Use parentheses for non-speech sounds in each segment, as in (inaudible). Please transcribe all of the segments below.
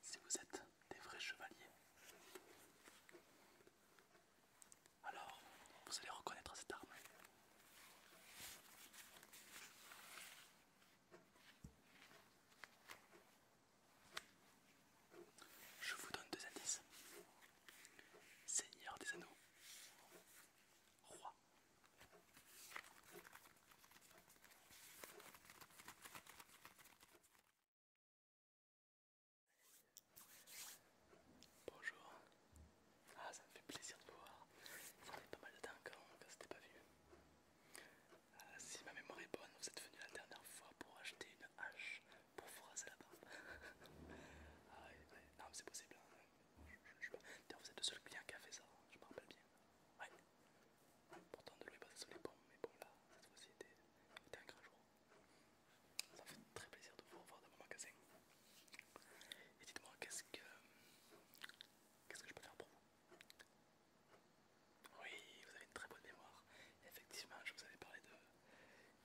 Si vous êtes des vrais chevaliers, alors vous allez reconnaître cette arme. Je vous donne deux indices. Seigneur des anneaux, roi Bonjour. Ah, ça me fait plaisir de vous voir. Ça fait pas mal de temps hein, qu'on ne s'était pas vu. Ah, si ma mémoire est bonne, vous êtes venu la dernière fois pour acheter une hache pour raser la barbe. (laughs) ah, Non, mais c'est possible. Hein vous êtes le seul client qui a fait ça, je me rappelle bien. Pourtant, de lui est les pommes, mais bon, là, cette fois-ci, était un grand jour. Ça fait très plaisir de vous revoir dans mon magasin. Et dites-moi, qu'est-ce que. Qu'est-ce que je peux faire pour vous Oui, vous avez une très bonne mémoire. Effectivement, je vous avais parlé de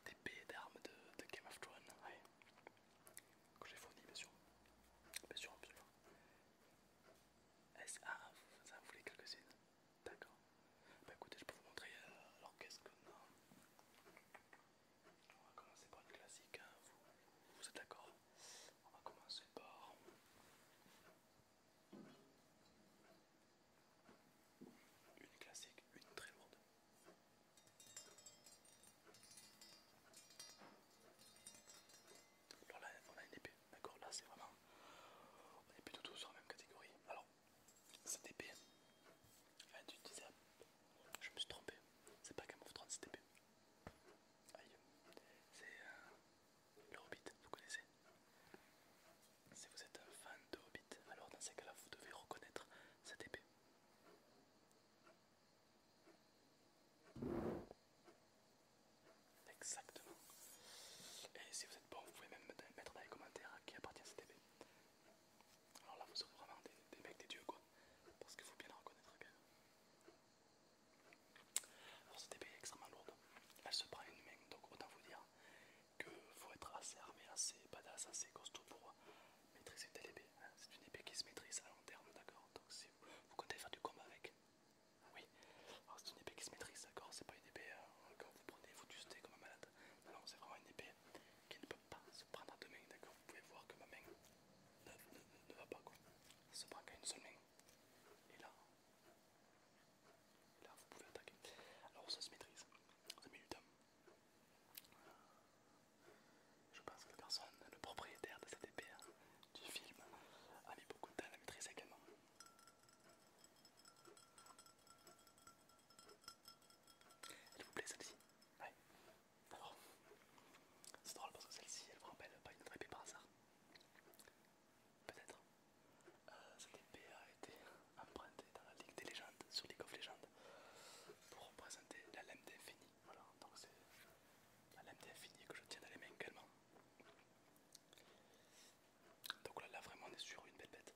d'épées, d'armes de, Game of Thrones que j'ai fourni bien sûr, bien sûr, absolument. Ah, ça vous voulez quelques-unes D'accord. Bah écoutez, je peux vous montrer. Euh, alors qu'est-ce On va commencer par une classique, hein. vous, vous êtes d'accord On va commencer par... Une classique, une très lourde. Alors là on a une épée, d'accord Là c'est vraiment... On est plutôt tout sur la même catégorie. Alors, cette épée, tu disais, je me suis trompé, c'est pas Game of Thrones cette épée. Aïe, c'est euh, le Hobbit, vous connaissez Si vous êtes un fan de Hobbit, alors dans ces cas-là vous devez reconnaître cette épée. Exactement. Et si vous êtes bon, vous pouvez même mettre dans les commentaires à qui appartient cette épée. Alors là, vous serez vraiment des, mecs des dieux quoi. Parce qu'il faut bien la reconnaître Alors cette épée est extrêmement lourde. Elle se prend une main, donc autant vous dire que faut être assez armé, assez badass, assez costaud pour maîtriser telle épée. Hein. C'est une épée qui se maîtrise à long terme, d'accord Donc si vous, comptez faire du combat avec, oui. Alors c'est une épée qui se maîtrise, d'accord C'est pas une épée quand hein, vous prenez, vous tustez comme un malade. Non, c'est vraiment une épée qui ne peut pas se prendre à deux mains, d'accord Vous pouvez voir que ma main ne, va pas, quoi. Ça se prend qu'à une seule main. Et là, là vous pouvez attaquer. Alors ça se maîtrise, ça met du je pense que personne, le propriétaire de cette épée hein, du film, a mis beaucoup de temps à la maîtriser également. Elle vous plaît celle-ci Ouais. Alors, c'est drôle parce que celle-ci, elle vous rappelle pas une autre épée par hasard. Peut-être. Euh, cette épée a été empruntée dans la Ligue des légendes, sur League of Legends, pour représenter la lame d'infini voilà, donc c'est la lame d'infini que je tiens dans les mains également. Donc là, là vraiment on est sur une belle bête.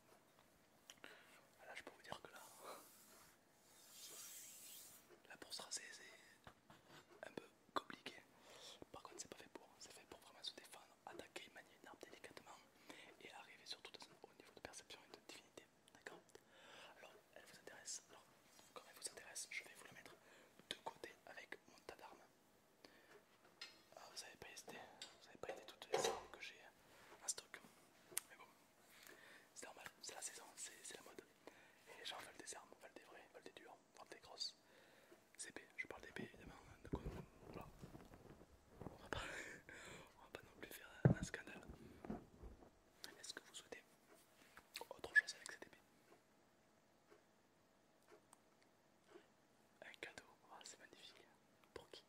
Ah, là je peux vous dire que là, la pour se c'est un peu compliqué. Par contre c'est pas fait pour, c'est fait pour vraiment se défendre, attaquer, manier une arme délicatement et arriver surtout au niveau de perception et de divinité d'accord Alors, elle vous intéresse Alors, comme elle vous intéresse, je vais vous la mettre de côté avec mon tas d'armes. Ah, vous n'avez pas hésité, vous n'avez pas été toutes les armes que j'ai un stock. Mais bon, c'est normal, c'est la saison, c'est la mode. Et les gens veulent des armes, veulent des vraies, veulent des dures, veulent des grosses. C'est B, je parle d'épée évidemment, hein, donc euh, voilà. (laughs) on va pas non plus faire un scandale. Est-ce que vous souhaitez autre chose avec cette épée. Un cadeau, ah, c'est magnifique. Pour qui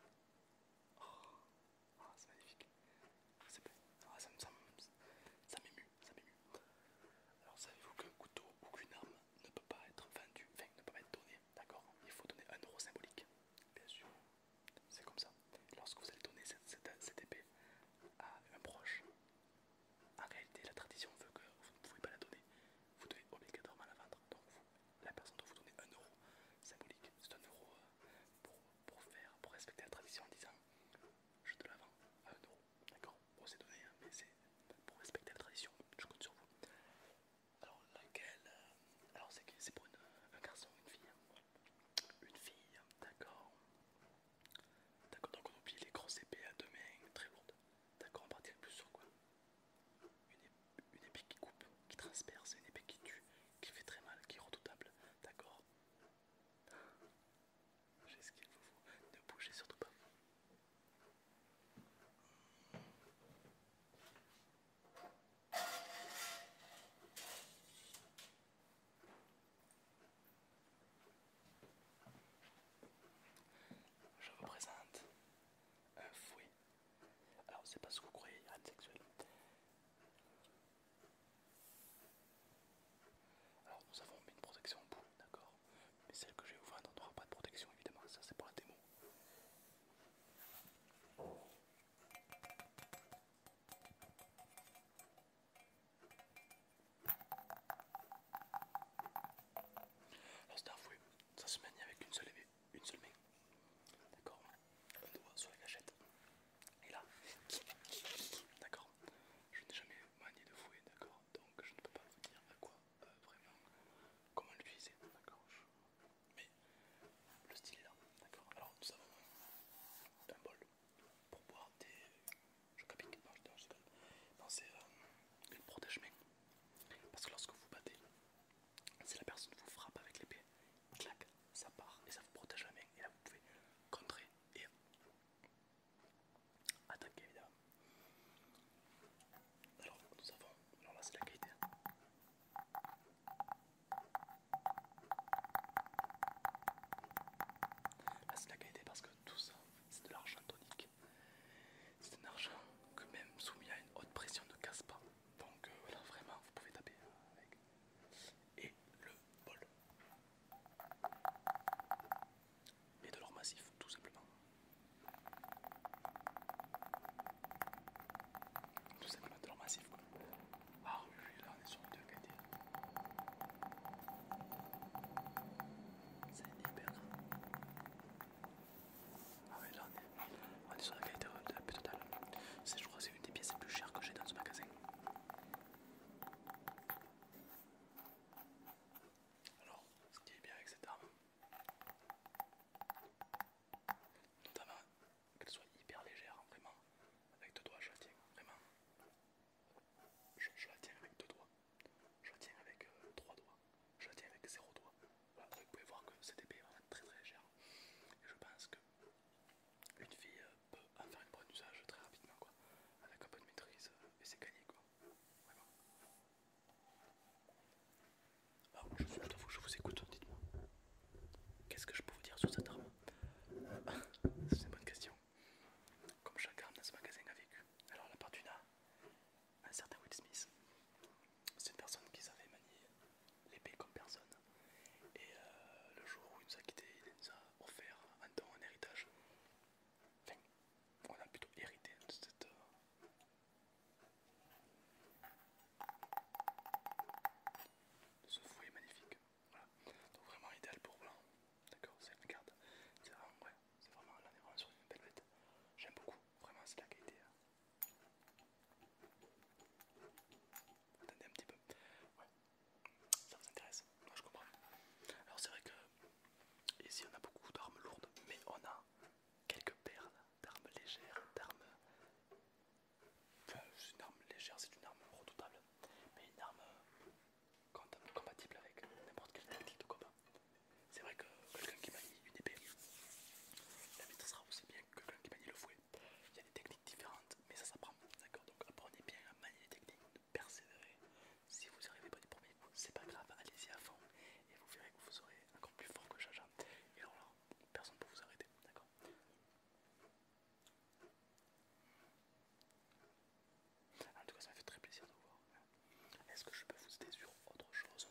oh. ah, C'est magnifique. Ah, ça m'émue, ça m'émue. Alors savez-vous qu'un couteau ou qu'une arme ne peut pas être vendue, enfin ne peut pas être donné, d'accord Il faut donner un euro symbolique, bien sûr. C'est comme ça. Lorsque vous allez donner cette, épée à un proche, en réalité la tradition veut que vous ne pouvez pas la donner, vous devez obligatoirement la vendre. Donc la personne doit vous donner un euro symbolique, c'est un euro euh, pour, faire, pour respecter la tradition en disant je te la vends à un euro, d'accord Bon c'est donné, hein, mais c'est pour respecter la tradition, je compte sur vous. Alors laquelle euh, Alors c'est pour un garçon ou une fille hein une fille, hein, d'accord. D'accord, donc on oublie les grosses épées à deux mains très lourdes. D'accord, on partirait plus sur quoi une, épée qui coupe, qui transperce, une épée qui tue, qui fait très mal, qui est redoutable. D'accord J'ai ce qu'il faut. Ne bougez surtout pas. Je vous présente un fouet. Alors, c'est pas ce que vous croyez, il a de sexuel. Alors, nous avons mis une protection en bout, d'accord Mais celle que je vais vous n'aura pas de protection, évidemment, ça c'est pour la démo. Là c'est un fouet, ça se manie avec une seule, main. D'accord Un doigt sur la gâchette. Et là, d'accord Je n'ai jamais manié de fouet, d'accord Donc je ne peux pas vous dire à quoi euh, vraiment, comment l'utiliser, d'accord Mais le style est là, d'accord Alors nous avons un bol pour boire des. Euh, je Non, c'est euh, une protège-main. Parce que lorsque vous battez, si la personne vous frappe avec l'épée, clac, ça part et ça vous protège la main. Et là, vous pouvez contrer et attaquer évidemment. Alors, nous avons. Alors là, c'est la qualité. Hein c'est la qualité parce que tout ça c'est de l'argent tonique. C'est un argent que même soumis à une haute pression ne casse pas. Donc euh, vraiment vous pouvez taper avec. Et le bol. Et de l'or massif tout simplement tout simplement de leur massif. Quoi. Ah oui, là on est sur le 2KT. C'est hyper Ah oui, là on est, sur la qualité de la totale. Je crois que c'est une des pièces les plus chères que j'ai dans ce magasin. Alors, ce qui est bien avec cette arme, notamment qu'elle soit hyper légère, hein, vraiment, avec deux doigts je la tiens, vraiment. Je, la tiens avec deux doigts, je la tiens avec euh, trois doigts, je la tiens avec zéro doigt. vous pouvez voir que cette épée est vraiment très très légère. je pense que une fille euh, peut en faire un bon usage très rapidement quoi, avec un peu de maîtrise euh, et c'est gagné quoi. Vraiment. Alors je je vous écoute, dites-moi. Qu'est-ce que je peux vous dire sur cette arme (laughs) C'est une bonne question. Comme chaque arme dans ce magasin a vécu. Alors la part d'une un certain Will Smith, c'est une personne qui savait manier l'épée comme personne. Et euh, le jour où il nous a quittés, il nous a offert un temps, un héritage. Enfin, on a plutôt hérité de cette... Euh, ce fouet est magnifique. Voilà. Donc vraiment idéal pour blanc. D'accord, c'est une carte. C'est vraiment, ouais, c'est vraiment, là on est vraiment sur une belle bête. J'aime beaucoup. Vraiment, c'est la qualité. Hein. Attendez un petit peu. Ouais. Ça vous intéresse Moi, je comprends. Alors c'est vrai que ici on a beaucoup d'armes lourdes, mais on a quelques perles d'armes légères, d'armes c'est une arme légère, c'est une arme redoutable, mais une arme euh, compatible avec n'importe quelle technique de combat. C'est vrai que quelqu'un qui manie une épée la sera aussi bien que quelqu'un qui manie le fouet. Il y a des techniques différentes, mais ça s'apprend. D'accord Donc apprenez bien à manier les techniques, persévérer. Si vous n'y arrivez pas du premier coup, c'est pas grave, allez-y à fond et vous verrez que vous serez encore plus fort que Jaja. Et alors là, personne ne peut vous arrêter. D'accord en tout cas, ça m'a fait très plaisir de vous voir. Est-ce que je peux vous aider sur autre chose,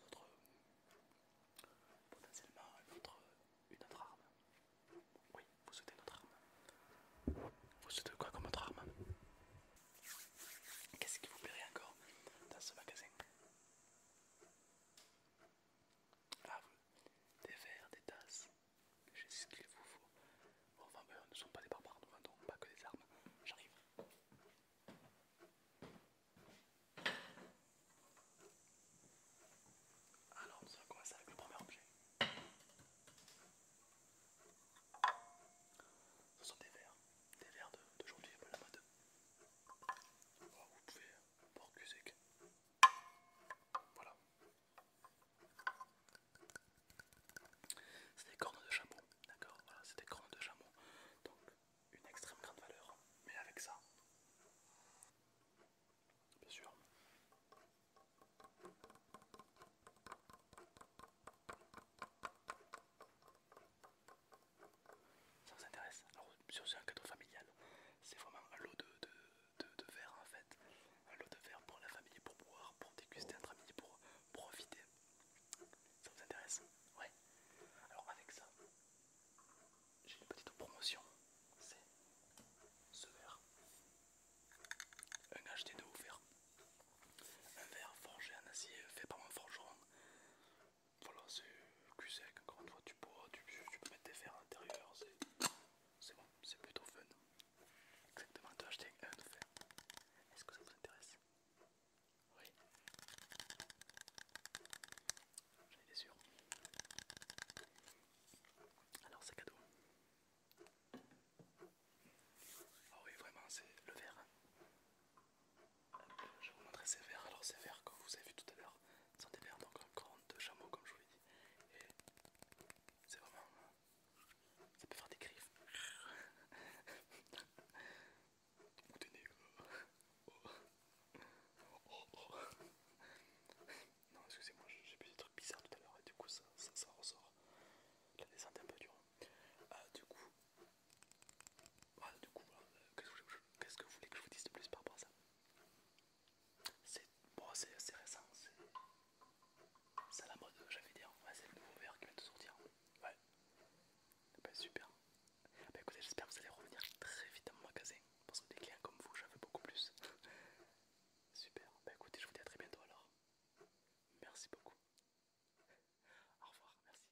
potentiellement une autre arme Oui, vous souhaitez notre arme. Vous souhaitez quoi comme autre arme Qu'est-ce qui vous plairait encore dans ce magasin ah, des verres, des tasses, j'ai ce qu'il vous faut. Bon, enfin, nous ben, ne sont pas des barbares, nous pas que des armes. J'arrive. Alors, nous allons commencer avec le premier objet. Ce sont des verres, des verres d'aujourd'hui, de, peu la mode. Oh, vous pouvez porter voilà. C'est des cornes de chameau, d'accord Voilà, c'est des cornes de chameau. Donc, une extrême grande valeur. Mais avec ça, bien sûr. Ça vous intéresse Alors, c'est un cadeau familial c'est vraiment un lot de, de, verre en fait, un lot de verre pour la famille, pour boire, pour déguster entre amis, pour profiter. Ça vous intéresse Ouais. Alors avec ça, j'ai une petite promotion, c'est ce verre, un HD2 ouvert un verre forgé en acier fait par un forgeron. Voilà, c'est que sec, encore une fois tu bois, tu, peux mettre des verres à l'intérieur, c'est bon, c'est plutôt fun. Exactement, tu as acheté un de fer. Est-ce que ça vous intéresse Oui. J'en étais sûr. Alors c'est cadeau. Ah oui vraiment c'est le verre. Hein. Euh, je vais vous montrer ces verres. Alors ces verres comme vous avez vu tout à l'heure, sont des verres donc grandes de chameau comme je vous l'ai dit et c'est vraiment ça peut faire des griffes vous (laughs) des oh. Oh, oh, non excusez-moi j'ai vu des trucs bizarres tout à l'heure et du coup ça, ressort la descente est un peu dure euh, du coup du coup, qu'est-ce que vous voulez que je vous dise de plus par rapport à ça c'est bon, assez récent, c'est à la mode, j'avais dit hein. Ouais, c'est le nouveau verre qui vient de sortir. Ouais, pas eh ben, super. Bah, écoutez, j'espère que vous allez revenir très vite dans mon magasin parce que des clients comme vous, j'en veux beaucoup plus. (laughs) super, bah écoutez, je vous dis à très bientôt alors. Merci beaucoup. Au revoir, merci.